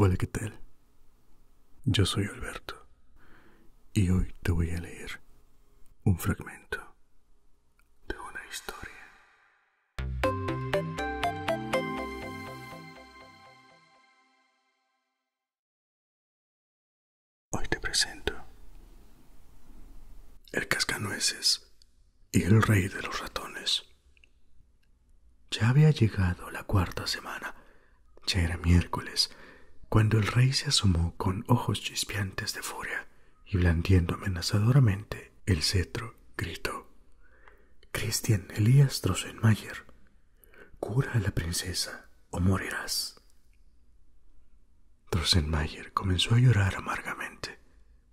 Hola, ¿qué tal? Yo soy Alberto y hoy te voy a leer un fragmento de una historia Hoy te presento el cascanueces y el rey de los ratones. Ya había llegado la cuarta semana, ya era miércoles, cuando el rey se asomó con ojos chispeantes de furia y blandiendo amenazadoramente el cetro, gritó —Cristian Elias Drosenmayer, Cura a la princesa o morirás. Drosenmayer comenzó a llorar amargamente,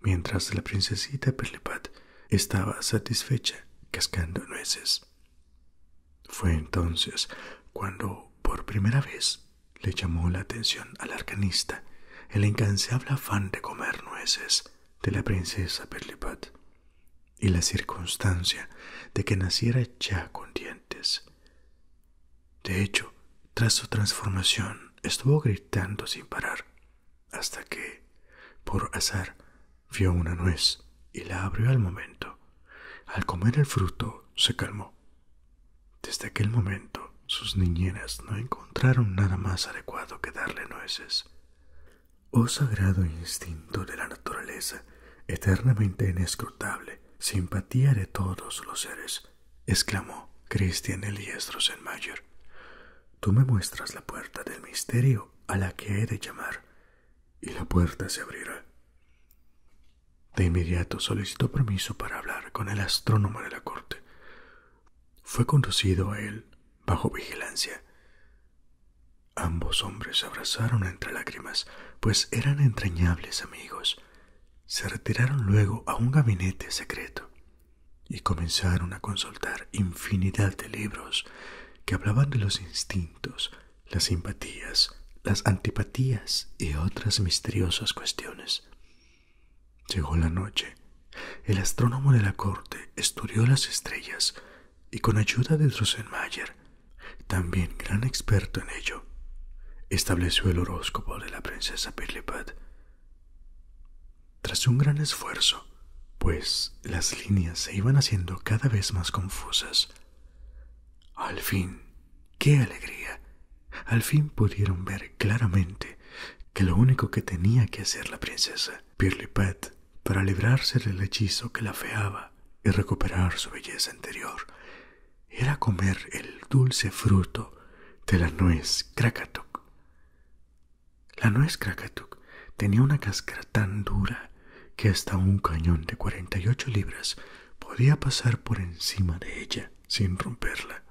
mientras la princesita Perlipat estaba satisfecha cascando nueces. Fue entonces cuando, por primera vez, le llamó la atención al arcanista el incansable afán de comer nueces de la princesa Perlipat, y la circunstancia de que naciera ya con dientes. De hecho, tras su transformación estuvo gritando sin parar, hasta que, por azar, vio una nuez y la abrió al momento. Al comer el fruto se calmó. Desde aquel momento sus niñeras no encontraron nada más adecuado que darle nueces. Oh sagrado instinto de la naturaleza, eternamente inescrutable, simpatía de todos los seres, exclamó Christian Elias Rosenmayer. Tú me muestras la puerta del misterio a la que he de llamar, y la puerta se abrirá. De inmediato solicitó permiso para hablar con el astrónomo de la corte. Fue conducido a él bajo vigilancia. Ambos hombres se abrazaron entre lágrimas, pues eran entrañables amigos. Se retiraron luego a un gabinete secreto y comenzaron a consultar infinidad de libros que hablaban de los instintos, las simpatías, las antipatías y otras misteriosas cuestiones. Llegó la noche. El astrónomo de la corte estudió las estrellas y con ayuda de Rosenmayer, también gran experto en ello, estableció el horóscopo de la princesa Pirlipat. Tras un gran esfuerzo, pues las líneas se iban haciendo cada vez más confusas. Al fin, qué alegría, al fin pudieron ver claramente que lo único que tenía que hacer la princesa Pirlipat para librarse del hechizo que la feaba y recuperar su belleza anterior era comer el dulce fruto de la nuez Krakatuk. La nuez Krakatuk tenía una cáscara tan dura que hasta un cañón de 48 libras podía pasar por encima de ella sin romperla.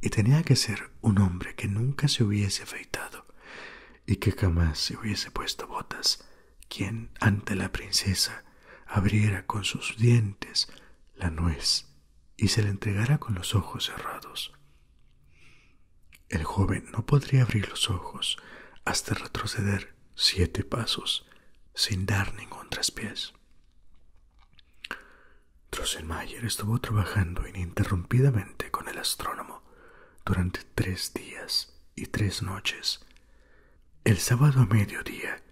Y tenía que ser un hombre que nunca se hubiese afeitado y que jamás se hubiese puesto botas, quien ante la princesa abriera con sus dientes la nuez y se la entregara con los ojos cerrados. El joven no podría abrir los ojos hasta retroceder siete pasos sin dar ningún traspiés. Drosselmayer estuvo trabajando ininterrumpidamente con el astrónomo durante tres días y tres noches. El sábado a mediodía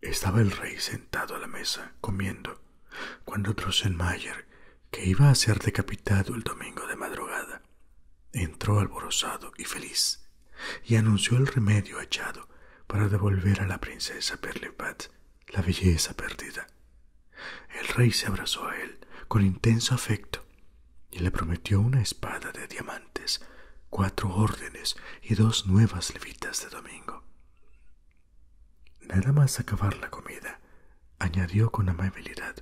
estaba el rey sentado a la mesa comiendo, cuando Drosselmayer, que iba a ser decapitado el domingo de madrugada, entró alborozado y feliz y anunció el remedio echado para devolver a la princesa la belleza perdida. El rey se abrazó a él con intenso afecto y le prometió una espada de diamantes, cuatro órdenes y dos nuevas levitas de domingo. Nada más acabar la comida, añadió con amabilidad,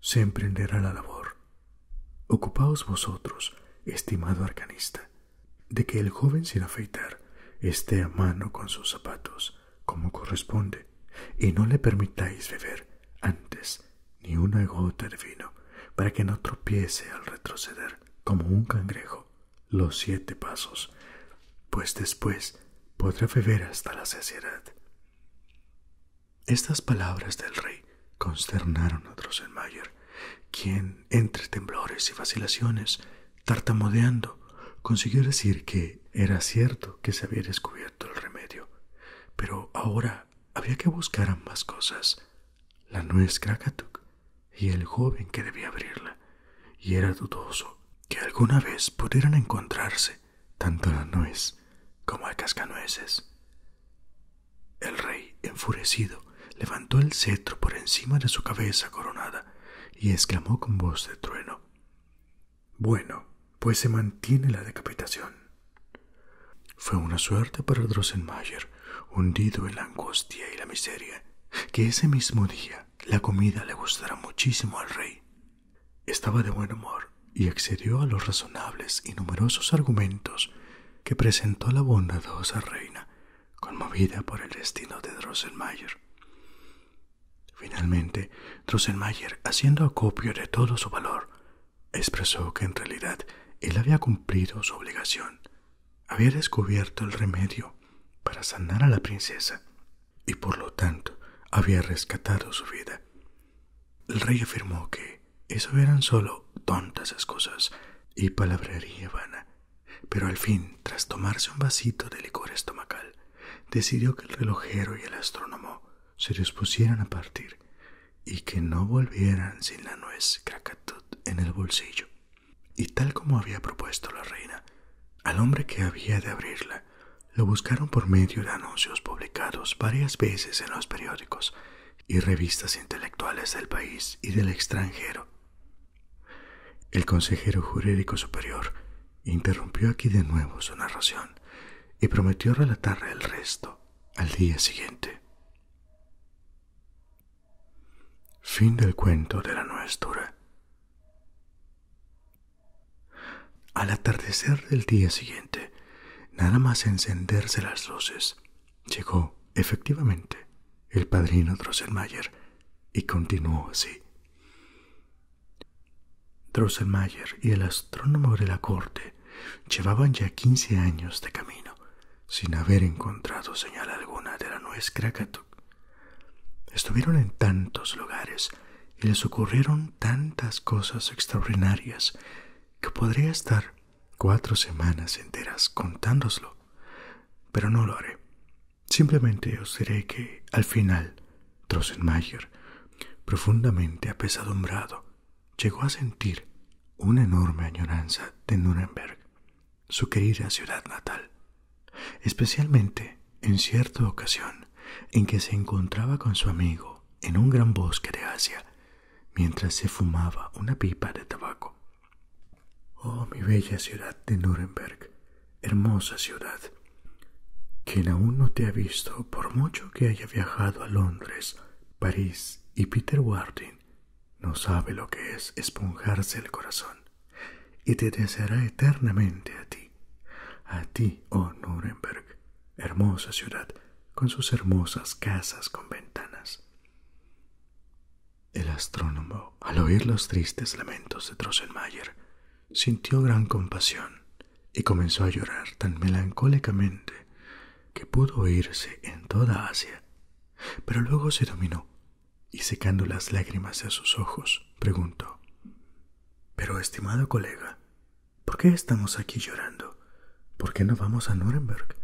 se emprenderá la labor. Ocupaos vosotros, estimado arcanista, de que el joven sin afeitar esté a mano con sus zapatos, como corresponde, y no le permitáis beber antes ni una gota de vino, para que no tropiece al retroceder como un cangrejo los siete pasos, pues después podrá beber hasta la saciedad. Estas palabras del rey consternaron a Drosselmayer, quien, entre temblores y vacilaciones, tartamudeando, consiguió decir que era cierto que se había descubierto el remedio, pero ahora había que buscar ambas cosas, la nuez Krakatuk y el joven que debía abrirla, y era dudoso que alguna vez pudieran encontrarse tanto a la nuez como a cascanueces. El rey, enfurecido, levantó el cetro por encima de su cabeza coronada y exclamó con voz de trueno Bueno, pues se mantiene la decapitación. Fue una suerte para Drosselmayer, hundido en la angustia y la miseria, que ese mismo día la comida le gustará muchísimo al rey. Estaba de buen humor y accedió a los razonables y numerosos argumentos que presentó la bondadosa reina conmovida por el destino de Drosselmayer. Finalmente, Drosselmayer, haciendo acopio de todo su valor, expresó que en realidad él había cumplido su obligación, había descubierto el remedio para sanar a la princesa y por lo tanto había rescatado su vida. El rey afirmó que eso eran solo tontas excusas y palabrería vana pero al fin, tras tomarse un vasito de licor estomacal, decidió que el relojero y el astrónomo se dispusieran a partir y que no volvieran sin la nuez Krakatut en el bolsillo. Y tal como había propuesto la reina, al hombre que había de abrirla lo buscaron por medio de anuncios publicados varias veces en los periódicos y revistas intelectuales del país y del extranjero. El consejero jurídico superior interrumpió aquí de nuevo su narración y prometió relatar el resto al día siguiente. Fin del cuento de la Al atardecer del día siguiente, nada más encenderse las luces, Llegó, efectivamente, el padrino Drosselmayer y continuó así. Drosselmayer y el astrónomo de la corte llevaban ya quince años de camino sin haber encontrado señal alguna de la nuez Krakatuk. Estuvieron en tantos lugares y les ocurrieron tantas cosas extraordinarias que podría estar cuatro semanas enteras contándoslo, pero no lo haré. Simplemente os diré que al final Drosselmayer, profundamente apesadumbrado, llegó a sentir una enorme añoranza de Nuremberg, su querida ciudad natal, especialmente en cierta ocasión en que se encontraba con su amigo en un gran bosque de Asia, mientras se fumaba una pipa de tabaco. Oh, mi bella ciudad de Nuremberg, hermosa ciudad. Quien aún no te ha visto, por mucho que haya viajado a Londres, París y Peter Wardin, no sabe lo que es esponjarse el corazón, y te deseará eternamente a ti, a ti, oh Nuremberg, hermosa ciudad, con sus hermosas casas con ventanas. El astrónomo, al oír los tristes lamentos de Drosselmayer, sintió gran compasión y comenzó a llorar tan melancólicamente que pudo oírse en toda Asia. Pero luego se dominó y secando las lágrimas de sus ojos, preguntó Pero, estimado colega, ¿por qué estamos aquí llorando? ¿Por qué no vamos a Nuremberg?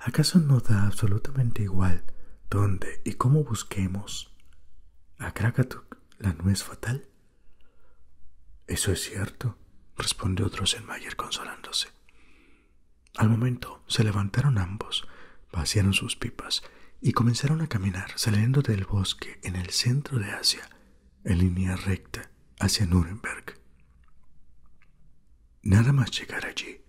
¿Acaso no da absolutamente igual dónde y cómo busquemos? A Krakatuk la nuez fatal. Eso es cierto, respondió Drosselmayer consolándose. Al momento se levantaron ambos, vaciaron sus pipas y comenzaron a caminar saliendo del bosque en el centro de Asia, en línea recta hacia Nuremberg. Nada más llegar allí,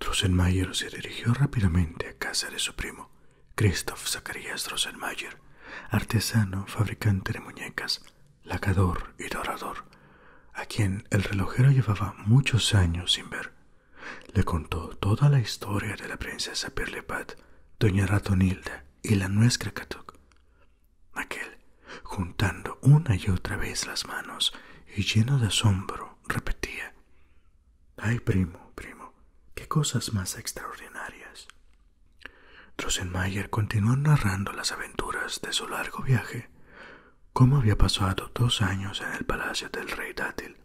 Droselmayer se dirigió rápidamente a casa de su primo, Christoph Zacarías droselmayer artesano, fabricante de muñecas, lacador y dorador, a quien el relojero llevaba muchos años sin ver. Le contó toda la historia de la princesa Pirlipat, doña Ratonilda y la nuez Krakatuk juntando una y otra vez las manos, y lleno de asombro repetía Ay, primo, primo, qué cosas más extraordinarias. Rosenmayer continuó narrando las aventuras de su largo viaje, cómo había pasado dos años en el palacio del rey Dátil,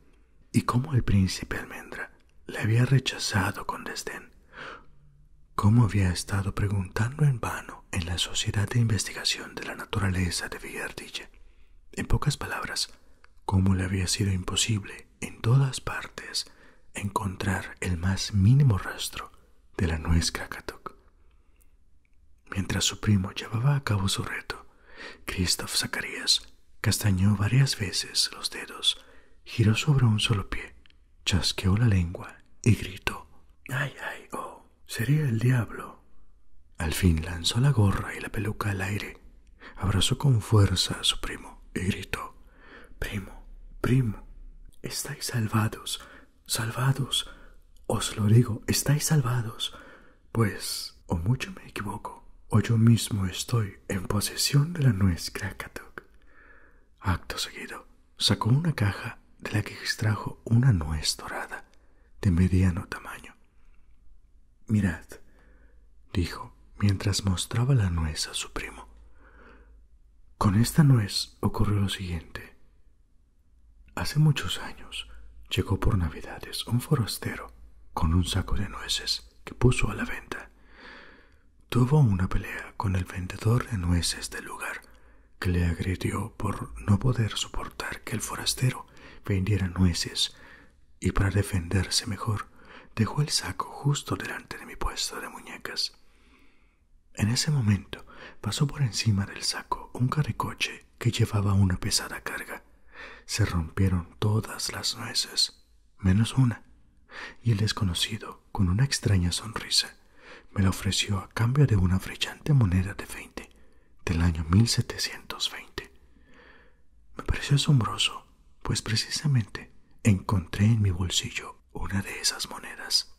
y cómo el príncipe Almendra le había rechazado con desdén, cómo había estado preguntando en vano en la Sociedad de Investigación de la Naturaleza de Villardilla. En pocas palabras, cómo le había sido imposible en todas partes encontrar el más mínimo rastro de la nuez Krakatuk. Mientras su primo llevaba a cabo su reto, Christoph Zacarías castañó varias veces los dedos, giró sobre un solo pie, chasqueó la lengua y gritó: ¡Ay, ay, oh! Sería el diablo. Al fin lanzó la gorra y la peluca al aire, abrazó con fuerza a su primo y gritó Primo, primo, estáis salvados, salvados. Os lo digo, estáis salvados. Pues o mucho me equivoco, o yo mismo estoy en posesión de la nuez Krakatuk. Acto seguido, sacó una caja de la que extrajo una nuez dorada de mediano tamaño. Mirad, dijo mientras mostraba la nuez a su primo. Con esta nuez ocurrió lo siguiente. Hace muchos años llegó por Navidades un forastero con un saco de nueces que puso a la venta. Tuvo una pelea con el vendedor de nueces del lugar que le agredió por no poder soportar que el forastero vendiera nueces y para defenderse mejor dejó el saco justo delante de mi puesto de muñecas. En ese momento pasó por encima del saco un carricoche que llevaba una pesada carga. Se rompieron todas las nueces, menos una, y el desconocido, con una extraña sonrisa, me la ofreció a cambio de una brillante moneda de veinte del año veinte Me pareció asombroso, pues precisamente encontré en mi bolsillo una de esas monedas.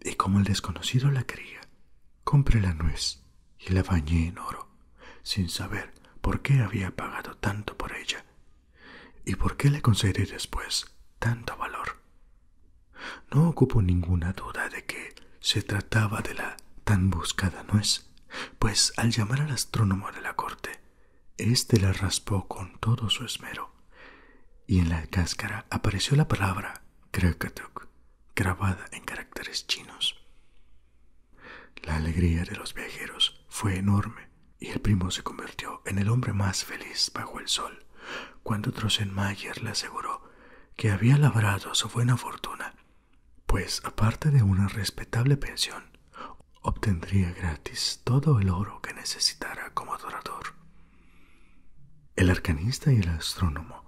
Y como el desconocido la quería, compré la nuez y la bañé en oro, sin saber por qué había pagado tanto por ella y por qué le concedí después tanto valor. No ocupo ninguna duda de que se trataba de la tan buscada nuez, pues al llamar al astrónomo de la corte, éste la raspó con todo su esmero, y en la cáscara apareció la palabra Krakatuk, grabada en caracteres chinos. La alegría de los viajeros fue enorme y el primo se convirtió en el hombre más feliz bajo el sol cuando Mayer le aseguró que había labrado su buena fortuna, pues aparte de una respetable pensión, obtendría gratis todo el oro que necesitara como adorador. El arcanista y el astrónomo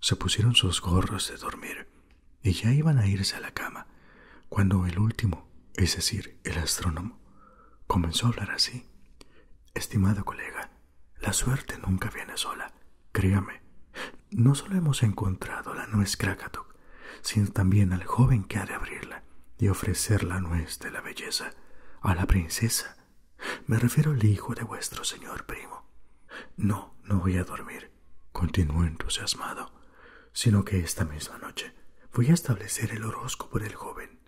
se pusieron sus gorros de dormir y ya iban a irse a la cama cuando el último, es decir, el astrónomo, comenzó a hablar así, Estimado colega, la suerte nunca viene sola, créame. No solo hemos encontrado la nuez Krakatuk, sino también al joven que ha de abrirla y ofrecer la nuez de la belleza a la princesa. Me refiero al hijo de vuestro señor primo. No, no voy a dormir, continuó entusiasmado, sino que esta misma noche voy a establecer el horóscopo del joven.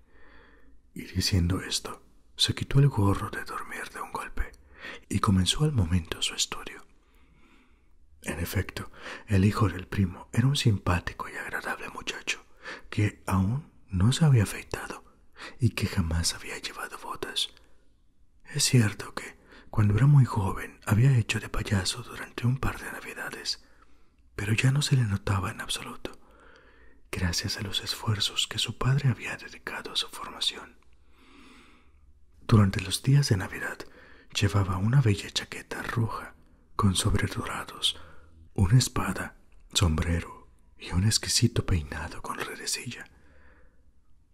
Y diciendo esto, se quitó el gorro de dormir de un golpe y comenzó al momento su estudio. En efecto, el hijo del primo era un simpático y agradable muchacho que aún no se había afeitado y que jamás había llevado botas. Es cierto que, cuando era muy joven, había hecho de payaso durante un par de navidades, pero ya no se le notaba en absoluto, gracias a los esfuerzos que su padre había dedicado a su formación. Durante los días de Navidad llevaba una bella chaqueta roja con sobredurados una espada, sombrero y un exquisito peinado con redecilla.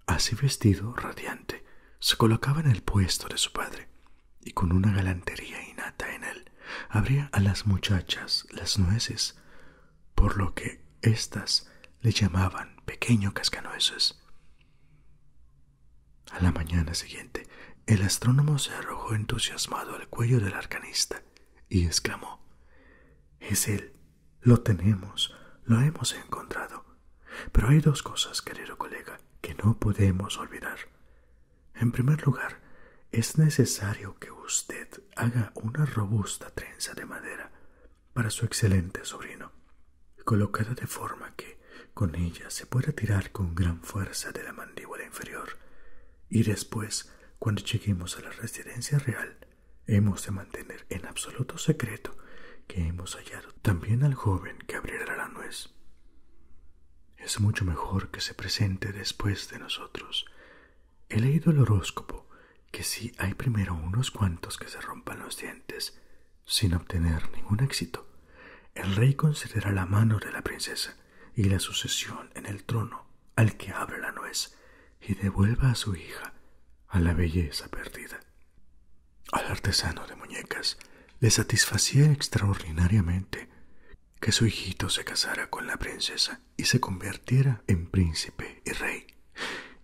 Así vestido, radiante, se colocaba en el puesto de su padre y con una galantería innata en él abría a las muchachas las nueces, por lo que éstas le llamaban pequeño cascanueces. A la mañana siguiente, el astrónomo se arrojó entusiasmado al cuello del arcanista y exclamó: Es él, lo tenemos, lo hemos encontrado. Pero hay dos cosas, querido colega, que no podemos olvidar. En primer lugar, es necesario que usted haga una robusta trenza de madera para su excelente sobrino, colocada de forma que con ella se pueda tirar con gran fuerza de la mandíbula inferior, y después, cuando lleguemos a la residencia real, hemos de mantener en absoluto secreto que hemos hallado también al joven que abrirá la nuez. Es mucho mejor que se presente después de nosotros. He leído el horóscopo que si hay primero unos cuantos que se rompan los dientes sin obtener ningún éxito, el rey concederá la mano de la princesa y la sucesión en el trono al que abra la nuez y devuelva a su hija a la belleza perdida. Al artesano de muñecas le satisfacía extraordinariamente que su hijito se casara con la princesa y se convirtiera en príncipe y rey,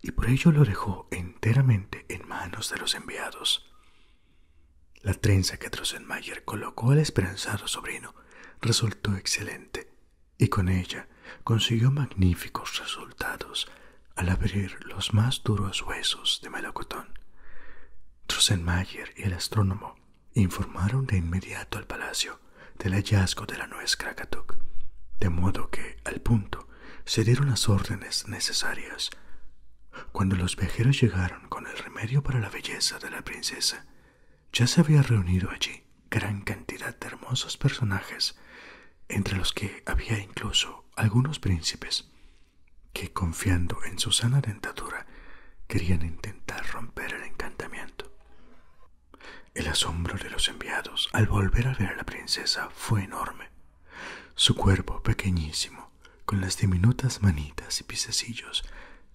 y por ello lo dejó enteramente en manos de los enviados. La trenza que Drosselmayer colocó al esperanzado sobrino resultó excelente, y con ella consiguió magníficos resultados al abrir los más duros huesos de melocotón. Drosselmayer y el astrónomo Informaron de inmediato al palacio del hallazgo de la nuez Krakatuk, de modo que, al punto, se dieron las órdenes necesarias. Cuando los viajeros llegaron con el remedio para la belleza de la princesa, ya se había reunido allí gran cantidad de hermosos personajes, entre los que había incluso algunos príncipes que confiando en su sana dentadura querían intentar romper el encantamiento. El asombro de los enviados al volver a ver a la princesa fue enorme. Su cuerpo pequeñísimo, con las diminutas manitas y pisecillos,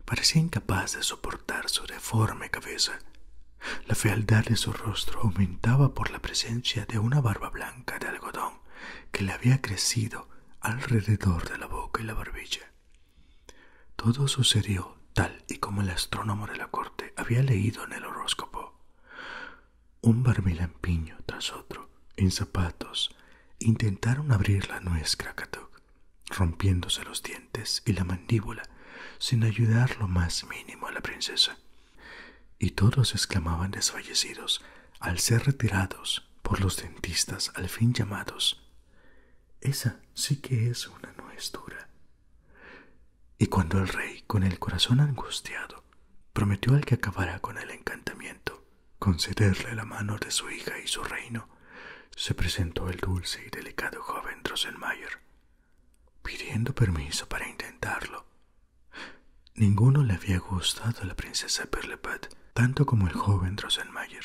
parecía incapaz de soportar su deforme cabeza. La fealdad de su rostro aumentaba por la presencia de una barba blanca de algodón que le había crecido alrededor de la boca y la barbilla. Todo sucedió tal y como el astrónomo de la corte había leído en el horóscopo. Un barbilampiño tras otro, en zapatos, intentaron abrir la nuez Krakatuk, rompiéndose los dientes y la mandíbula sin ayudar lo más mínimo a la princesa. Y todos exclamaban desfallecidos al ser retirados por los dentistas al fin llamados. Esa sí que es una es dura. Y cuando el rey, con el corazón angustiado, prometió al que acabara con el encantamiento concederle la mano de su hija y su reino, se presentó el dulce y delicado joven rosenmayer pidiendo permiso para intentarlo. Ninguno le había gustado a la princesa tanto como el joven Rosenmayer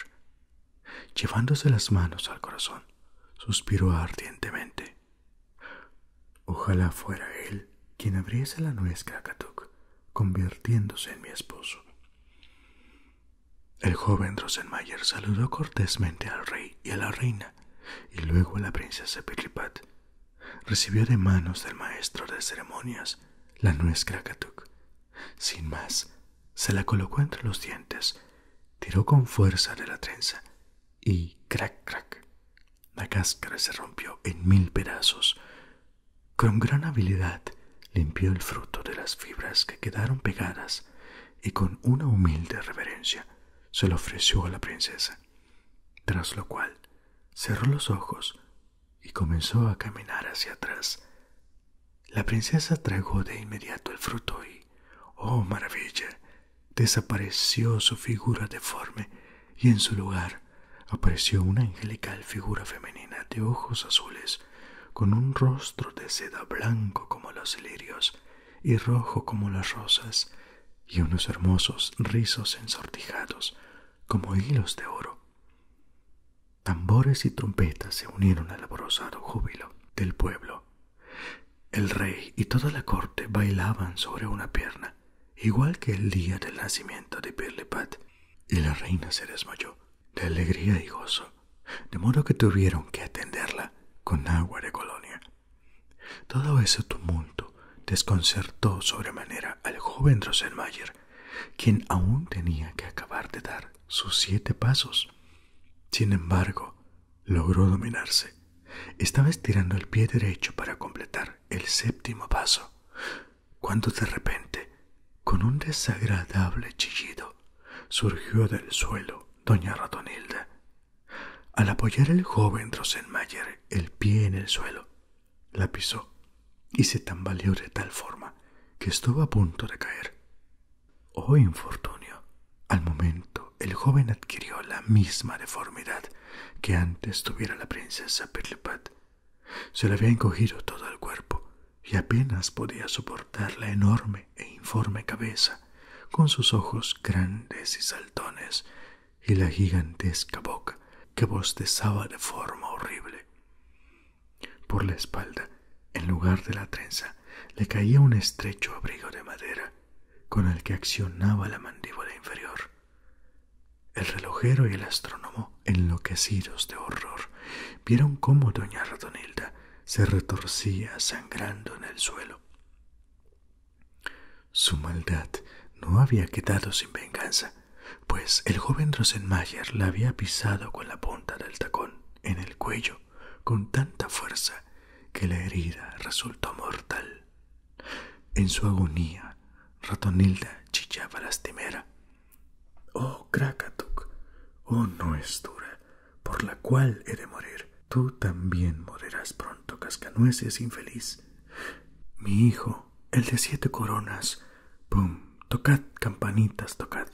Llevándose las manos al corazón, suspiró ardientemente. Ojalá fuera él quien abriese la nuez Krakatuk, convirtiéndose en mi esposo. El joven Rosenmayer saludó cortésmente al rey y a la reina, y luego a la princesa Pirlipat. Recibió de manos del maestro de ceremonias la nuez Krakatuk sin más, se la colocó entre los dientes, tiró con fuerza de la trenza y crac, crac. La cáscara se rompió en mil pedazos. Con gran habilidad limpió el fruto de las fibras que quedaron pegadas y con una humilde reverencia se lo ofreció a la princesa, tras lo cual cerró los ojos y comenzó a caminar hacia atrás. La princesa tragó de inmediato el fruto y, oh maravilla, desapareció su figura deforme y en su lugar apareció una angelical figura femenina de ojos azules, con un rostro de seda blanco como los lirios y rojo como las rosas, y unos hermosos rizos ensortijados como hilos de oro. Tambores y trompetas se unieron al alborozado júbilo del pueblo. El rey y toda la corte bailaban sobre una pierna, igual que el día del nacimiento de Pirlipat, y la reina se desmayó de alegría y gozo, de modo que tuvieron que atenderla con agua de colonia. Todo ese tumulto desconcertó sobremanera al joven Rosenmayer quien aún tenía que acabar de dar sus siete pasos. Sin embargo, logró dominarse. Estaba estirando el pie derecho para completar el séptimo paso, cuando de repente, con un desagradable chillido, surgió del suelo doña Ratonilda. Al apoyar el joven Rosenmayer el pie en el suelo, la pisó y se tambaleó de tal forma que estuvo a punto de caer. Oh infortunio. Al momento el joven adquirió la misma deformidad que antes tuviera la princesa Pirlipat. Se le había encogido todo el cuerpo y apenas podía soportar la enorme e informe cabeza, con sus ojos grandes y saltones y la gigantesca boca que bostezaba de forma horrible. Por la espalda, en lugar de la trenza, le caía un estrecho abrigo de madera con el que accionaba la mandíbula inferior. El relojero y el astrónomo, enloquecidos de horror, vieron cómo doña Ratonilda se retorcía sangrando en el suelo. Su maldad no había quedado sin venganza pues el joven Rosenmayer la había pisado con la punta del tacón en el cuello con tanta fuerza que la herida resultó mortal. En su agonía, Ratonilda chillaba lastimera. Oh, Krakatuk, oh, no es dura, por la cual he de morir. Tú también morirás pronto, cascanueces infeliz. Mi hijo el de siete coronas. Pum, tocad, campanitas, tocad.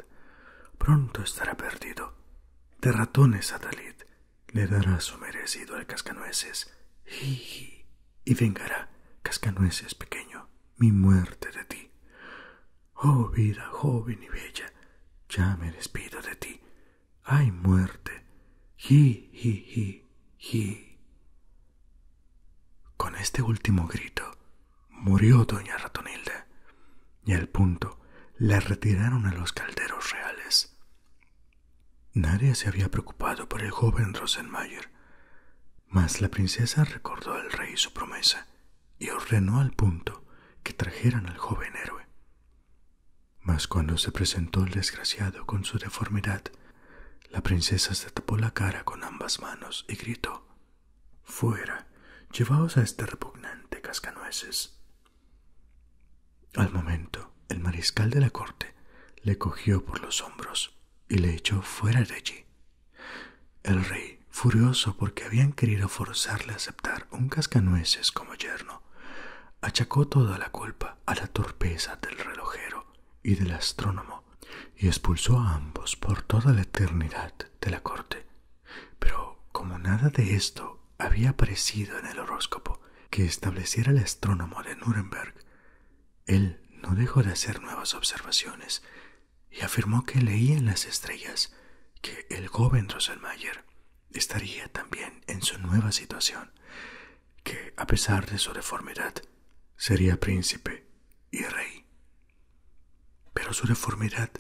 Pronto estará perdido. De ratones, Atalid. Le dará su merecido al cascanueces. hi, Y vengará, cascanueces pequeño, mi muerte de ti. Oh vida joven y bella, ya me despido de ti. Ay muerte. hi. hi, hi, con este último grito murió doña Ratonilda y al punto la retiraron a los calderos reales. Nadie se había preocupado por el joven Rosenmayer, mas la princesa recordó al rey su promesa y ordenó al punto que trajeran al joven héroe. Mas cuando se presentó el desgraciado con su deformidad la princesa se tapó la cara con ambas manos y gritó Fuera. Llevaos a este repugnante cascanueces. Al momento, el mariscal de la corte le cogió por los hombros y le echó fuera de allí. El rey, furioso porque habían querido forzarle a aceptar un cascanueces como yerno, achacó toda la culpa a la torpeza del relojero y del astrónomo, y expulsó a ambos por toda la eternidad de la corte. Pero como nada de esto había aparecido en el horóscopo que estableciera el astrónomo de Nuremberg, él no dejó de hacer nuevas observaciones y afirmó que leía en las estrellas que el joven Rosenmayer estaría también en su nueva situación que, a pesar de su deformidad, sería príncipe y rey. Pero su deformidad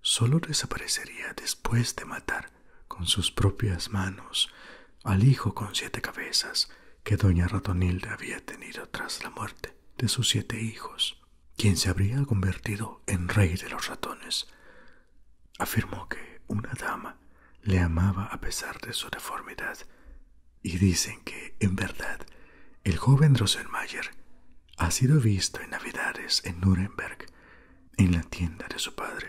solo desaparecería después de matar con sus propias manos al hijo con siete cabezas que doña Ratonilde había tenido tras la muerte de sus siete hijos, quien se habría convertido en rey de los ratones. Afirmó que una dama le amaba a pesar de su deformidad, y dicen que, en verdad, el joven Rosenmayer ha sido visto en Navidades en Nuremberg, en la tienda de su padre,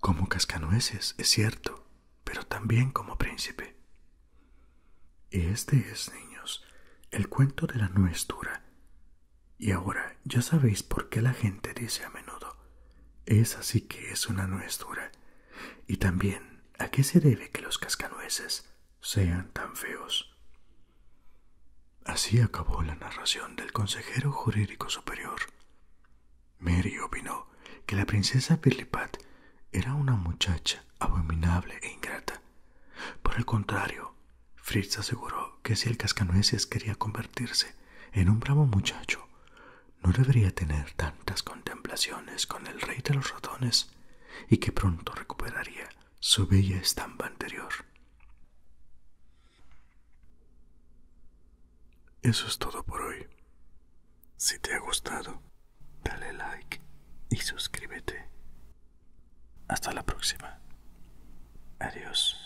como cascanueces, es cierto, pero también como príncipe. Este es, niños, el cuento de la nuez dura. Y ahora ya sabéis por qué la gente dice a menudo, es así que es una nuez y también, ¿a qué se debe que los cascanueces sean tan feos? Así acabó la narración del consejero jurídico superior. Mary opinó que la princesa Pirlipat era una muchacha abominable e ingrata. Por el contrario, Fritz aseguró que si el cascanueces quería convertirse en un bravo muchacho, no debería tener tantas contemplaciones con el rey de los ratones y que pronto recuperaría su bella estampa anterior. Eso es todo por hoy. Si te ha gustado, dale like y suscríbete. Hasta la próxima. Adiós.